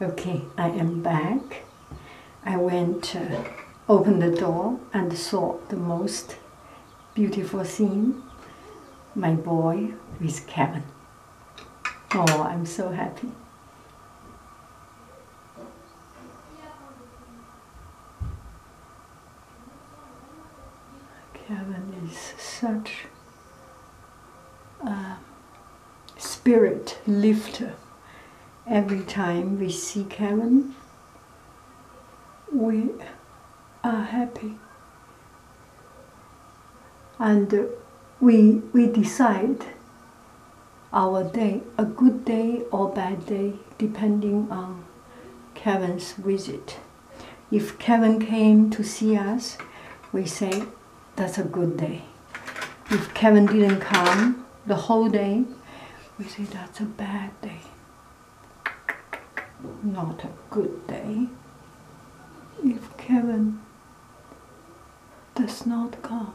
Okay, I am back. I went, uh, opened the door and saw the most beautiful scene. My boy with Kevin. Oh, I'm so happy. Kevin is such uh, spirit lifter. Every time we see Kevin, we are happy. And uh, we, we decide our day, a good day or bad day, depending on Kevin's visit. If Kevin came to see us, we say, that's a good day. If Kevin didn't come the whole day, we say that's a bad day. Not a good day. If Kevin does not come,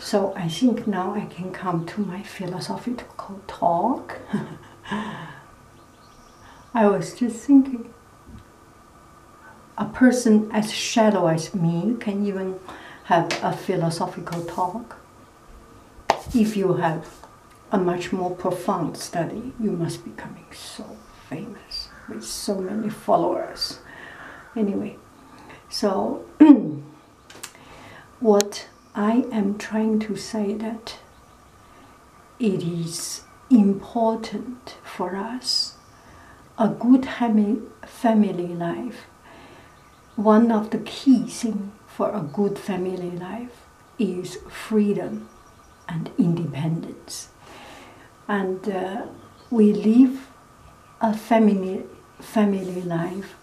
So I think now I can come to my philosophical talk. I was just thinking a person as shallow as me can even have a philosophical talk. If you have a much more profound study, you must be becoming so famous with so many followers. Anyway, so what I am trying to say that it is important for us a good family life. One of the key thing for a good family life is freedom and independence. And uh, we live a family, family life.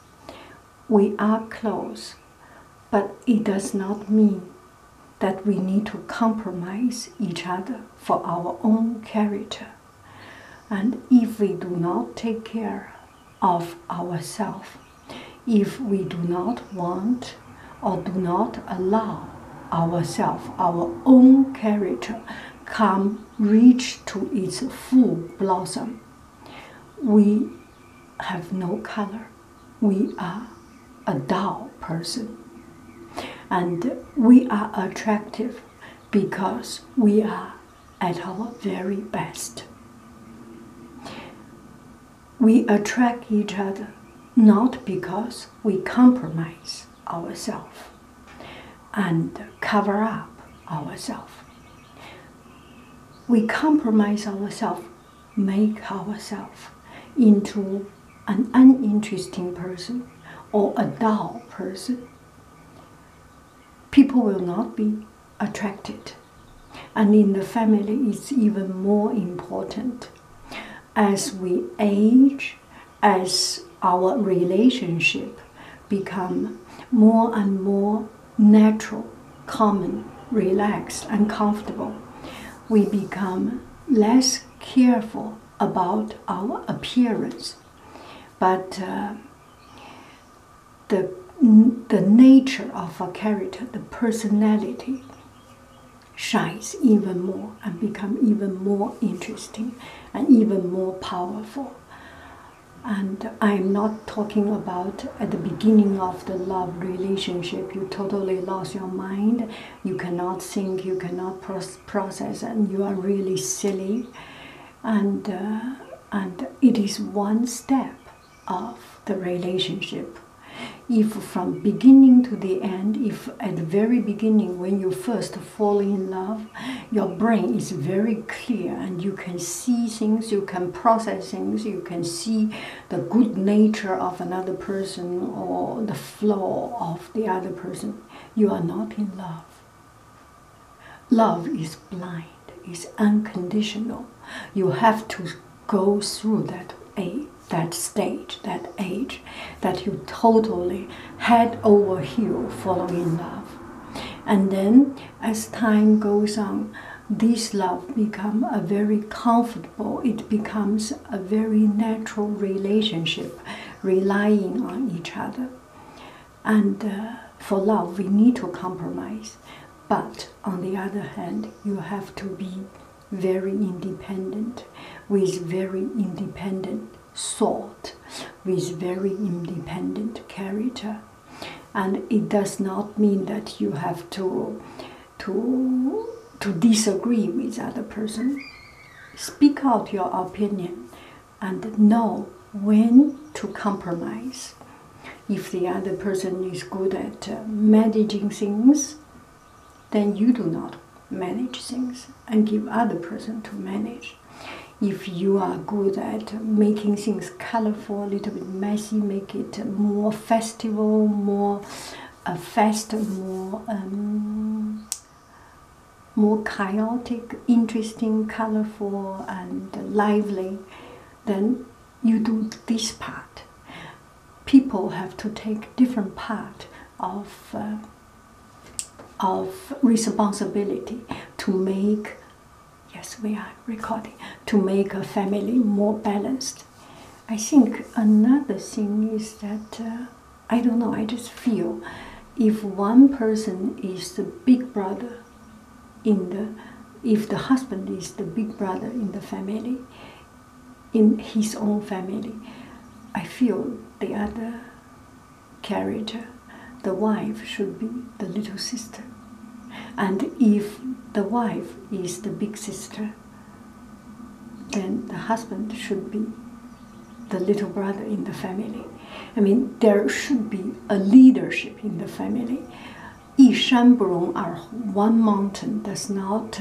We are close, but it does not mean that we need to compromise each other for our own character. And if we do not take care of ourselves, if we do not want or do not allow ourselves, our own character, come reach to its full blossom, we have no color. We are a dull person. And we are attractive because we are at our very best. We attract each other not because we compromise, Ourself and cover up ourself. We compromise ourself, make ourself into an uninteresting person or a dull person. People will not be attracted. And in the family, it's even more important. As we age, as our relationship become more and more natural, common, relaxed, and comfortable, we become less careful about our appearance. But uh, the, the nature of a character, the personality, shines even more and become even more interesting and even more powerful. And I'm not talking about at the beginning of the love relationship, you totally lost your mind, you cannot think, you cannot process, and you are really silly. And, uh, and it is one step of the relationship. If from beginning to the end, if at the very beginning when you first fall in love, your brain is very clear and you can see things, you can process things, you can see the good nature of another person or the flaw of the other person. You are not in love. Love is blind, it's unconditional. You have to go through that age, that stage, that age that you totally head over falling in love. And then as time goes on, this love become a very comfortable, it becomes a very natural relationship, relying on each other. And uh, for love, we need to compromise. But on the other hand, you have to be very independent, with very independent salt with very independent character and it does not mean that you have to to to disagree with other person speak out your opinion and know when to compromise if the other person is good at uh, managing things then you do not manage things and give other person to manage. If you are good at making things colorful, a little bit messy, make it more festival, more uh, fast, more um, more chaotic, interesting, colorful, and lively, then you do this part. People have to take different part of. Uh, of responsibility to make yes we are recording to make a family more balanced i think another thing is that uh, i don't know i just feel if one person is the big brother in the if the husband is the big brother in the family in his own family i feel the other character, the wife should be the little sister. And if the wife is the big sister, then the husband should be the little brother in the family. I mean, there should be a leadership in the family. 一山不容二虎. One mountain does not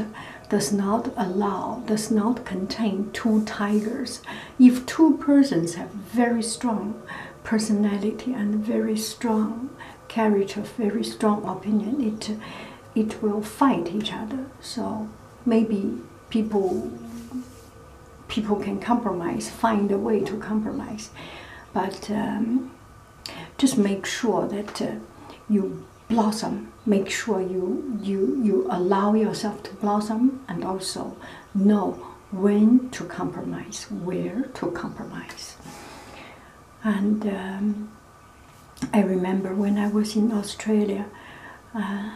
does not allow does not contain two tigers if two persons have very strong personality and very strong character, very strong opinion, it it will fight each other. So maybe people people can compromise, find a way to compromise, but um, just make sure that uh, you blossom make sure you you you allow yourself to blossom and also know when to compromise where to compromise and um, i remember when i was in australia uh,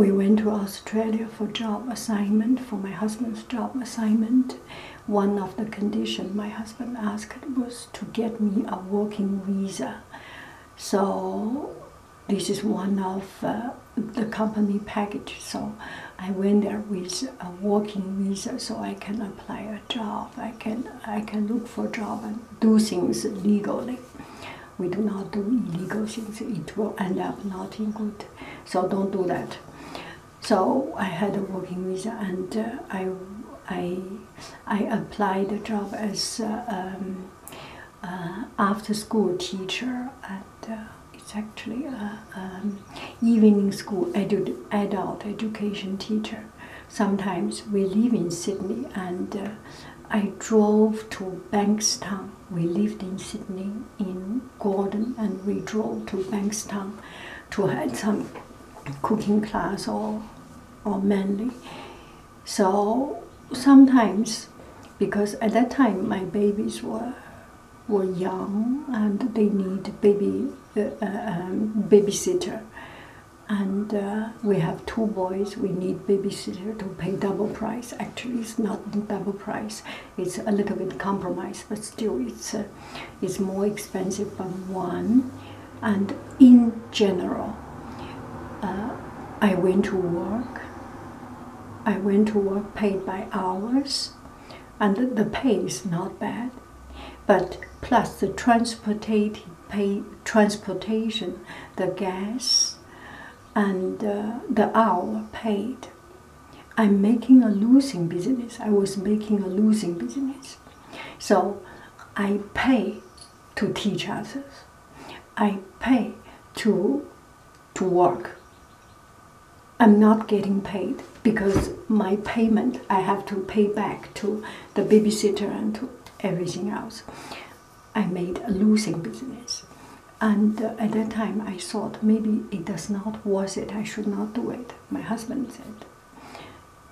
we went to australia for job assignment for my husband's job assignment one of the condition my husband asked was to get me a working visa so this is one of uh, the company packages, so I went there with a uh, working visa, so I can apply a job. I can I can look for a job and do things legally. We do not do illegal things. It will end up not in good. So don't do that. So I had a working visa, and uh, I I I applied a job as um, uh, after school teacher and uh, it's actually a um, evening school edu adult education teacher. Sometimes we live in Sydney and uh, I drove to Bankstown. We lived in Sydney in Gordon and we drove to Bankstown to have some cooking class or or mainly so sometimes, because at that time my babies were were young and they need baby uh, uh, um, babysitter, and uh, we have two boys. We need babysitter to pay double price. Actually, it's not double price. It's a little bit compromise, but still, it's it's more expensive than one. And in general. Uh, I went to work. I went to work paid by hours, and the, pay is not bad. But plus the transportation, pay, transportation, the gas, and uh, the hour paid. I'm making a losing business. I was making a losing business. So I pay to teach others. I pay to to work. I'm not getting paid because my payment I have to pay back to the babysitter and to everything else. I made a losing business. And uh, at that time, I thought maybe it does not worth it. I should not do it. My husband said,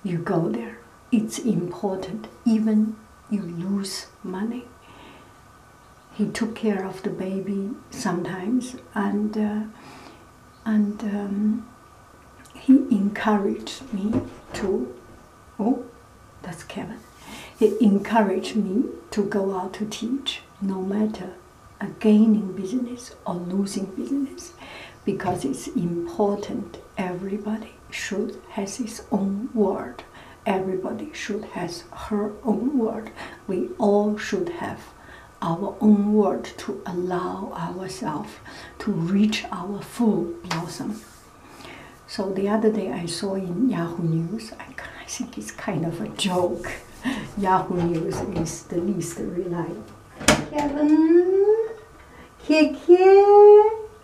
"You go there. It's important, even you lose money. He took care of the baby sometimes, and uh, and um, he encouraged me to. Oh, that's Kevin. He encouraged me to go out to teach, no matter a gaining business or losing business, because it's important. Everybody should has his own word. Everybody should have her own word. We all should have our own word to allow ourselves to reach our full blossom. So the other day I saw in Yahoo News, I, I think it's kind of a joke. Yahoo News is the least reliable. Kevin, Kiki,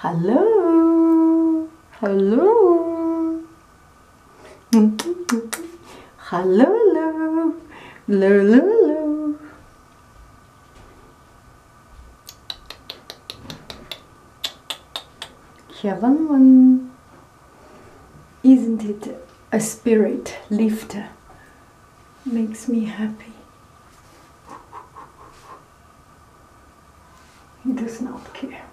Hello. Hello. Hello. Hello. Hello. Heaven one. Isn't it a spirit lifter? makes me happy. He does not care,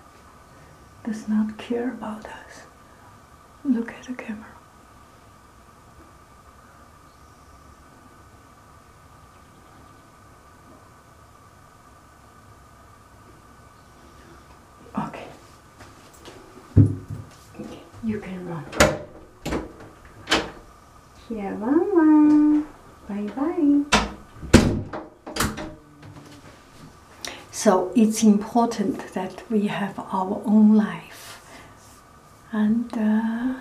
does not care about us. Look at the camera. Okay. You can run. Chiavama. Bye-bye. So it's important that we have our own life. And uh,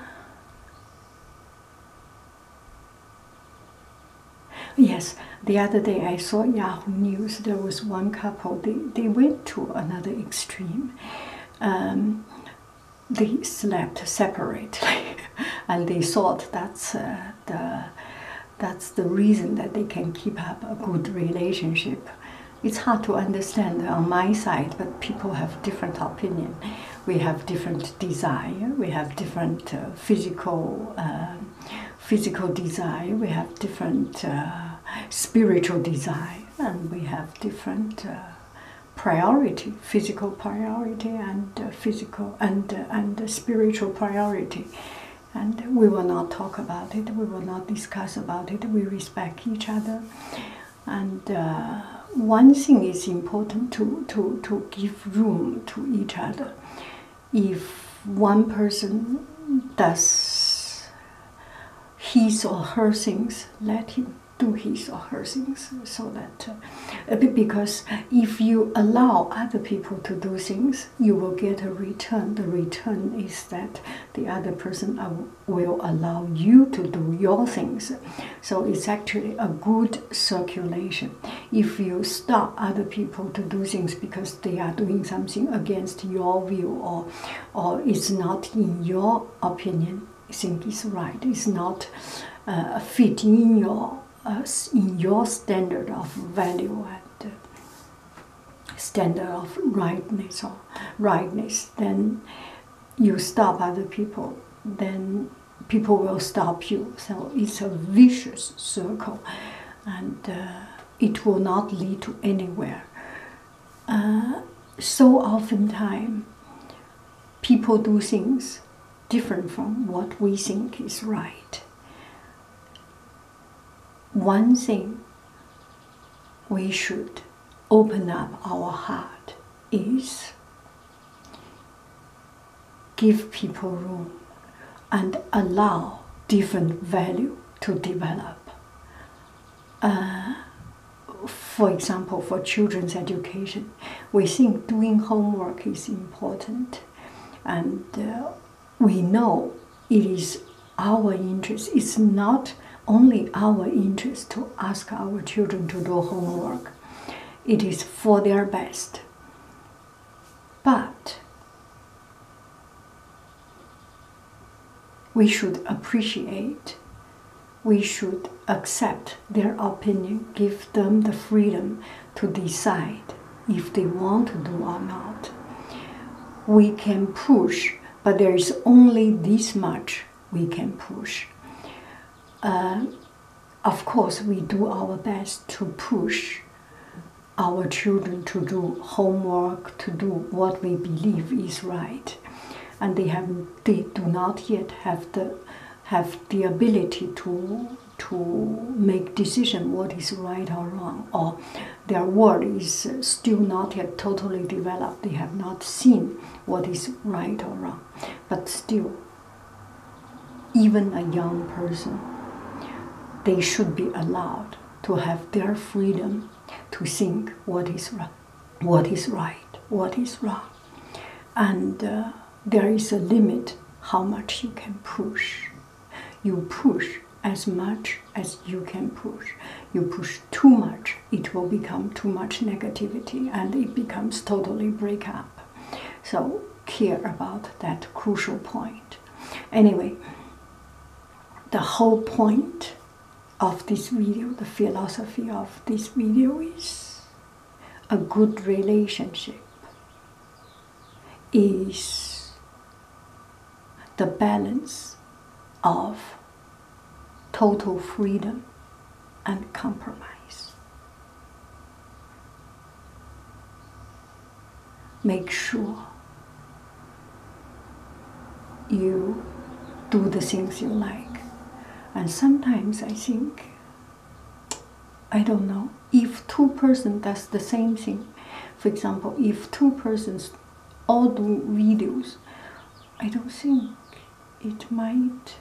yes, the other day I saw Yahoo News, there was one couple, they, they went to another extreme. Um, they slept separately, and they thought that's uh, the that's the reason that they can keep up a good relationship. It's hard to understand on my side, but people have different opinion. We have different desire. We have different uh, physical uh, physical desire. We have different spiritual desire, and we have different priority, physical priority and uh, physical and uh, and uh, spiritual priority. And we will not talk about it. We will not discuss about it. We respect each other. And one thing is important to, to, to give room to each other. If one person does his or her things, let him do his or her things so that uh, because if you allow other people to do things you will get a return the return is that the other person will allow you to do your things so it's actually a good circulation if you stop other people to do things because they are doing something against your will or or it's not in your opinion think is right. It's not uh, fitting in your uh, in your standard of value and uh, standard of rightness or rightness. Then you stop other people. Then people will stop you. So it's a vicious circle, and it will not lead to anywhere uh, so oftentimes people do things different from what we think is right. One thing we should open up our heart is give people room and allow different value to develop uh, for example, for children's education, we think doing homework is important, and uh, we know it is our interest. It's not only our interest to ask our children to do homework, it is for their best. But we should appreciate, we should accept their opinion, give them the freedom to decide if they want to do or not. We can push, but there is only this much we can push. Uh, of course, we do our best to push our children to do homework, to do what we believe is right, and they have they do not yet have the have the ability to to make decision what is right or wrong or their world is still not yet totally developed they have not seen what is right or wrong but still even a young person they should be allowed to have their freedom to think what is right what is right, what is wrong. And uh, there is a limit how much you can push. You push as much as you can push. You push too much, it will become too much negativity and it becomes totally break up. So care about that crucial point. Anyway, the whole point of this video, the philosophy of this video is a good relationship is the balance of total freedom and compromise. Make sure you do the things you like. And sometimes I think, I don't know, if two persons does the same thing, for example, if two persons all do videos, I don't think it might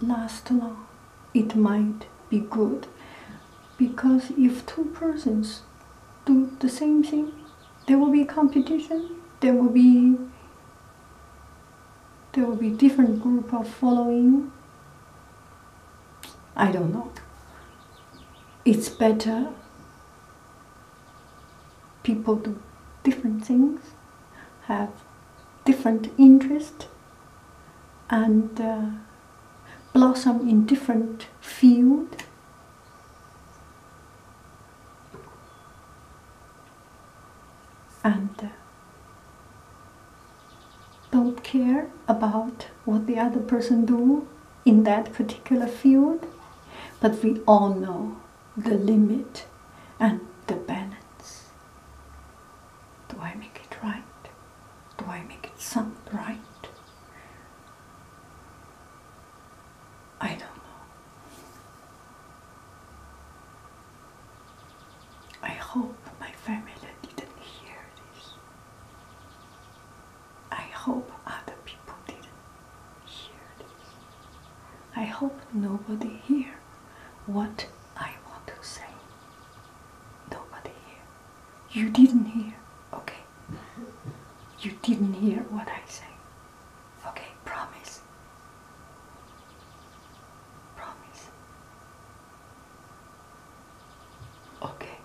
last long. It might be good. Because if two persons do the same thing, there will be competition, there will be there will be different group of following. I don't know. It's better people do different things, have different interest, and uh, blossom in different field and uh, don't care about what the other person do in that particular field but we all know the limit and the balance do i make it right do i make it sound right I don't know. I hope my family didn't hear this. I hope other people didn't hear this. I hope nobody hear what I want to say. Nobody hear. You didn't hear, okay? You didn't hear what I say. Okay, promise. Promise. Okay.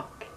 Okay.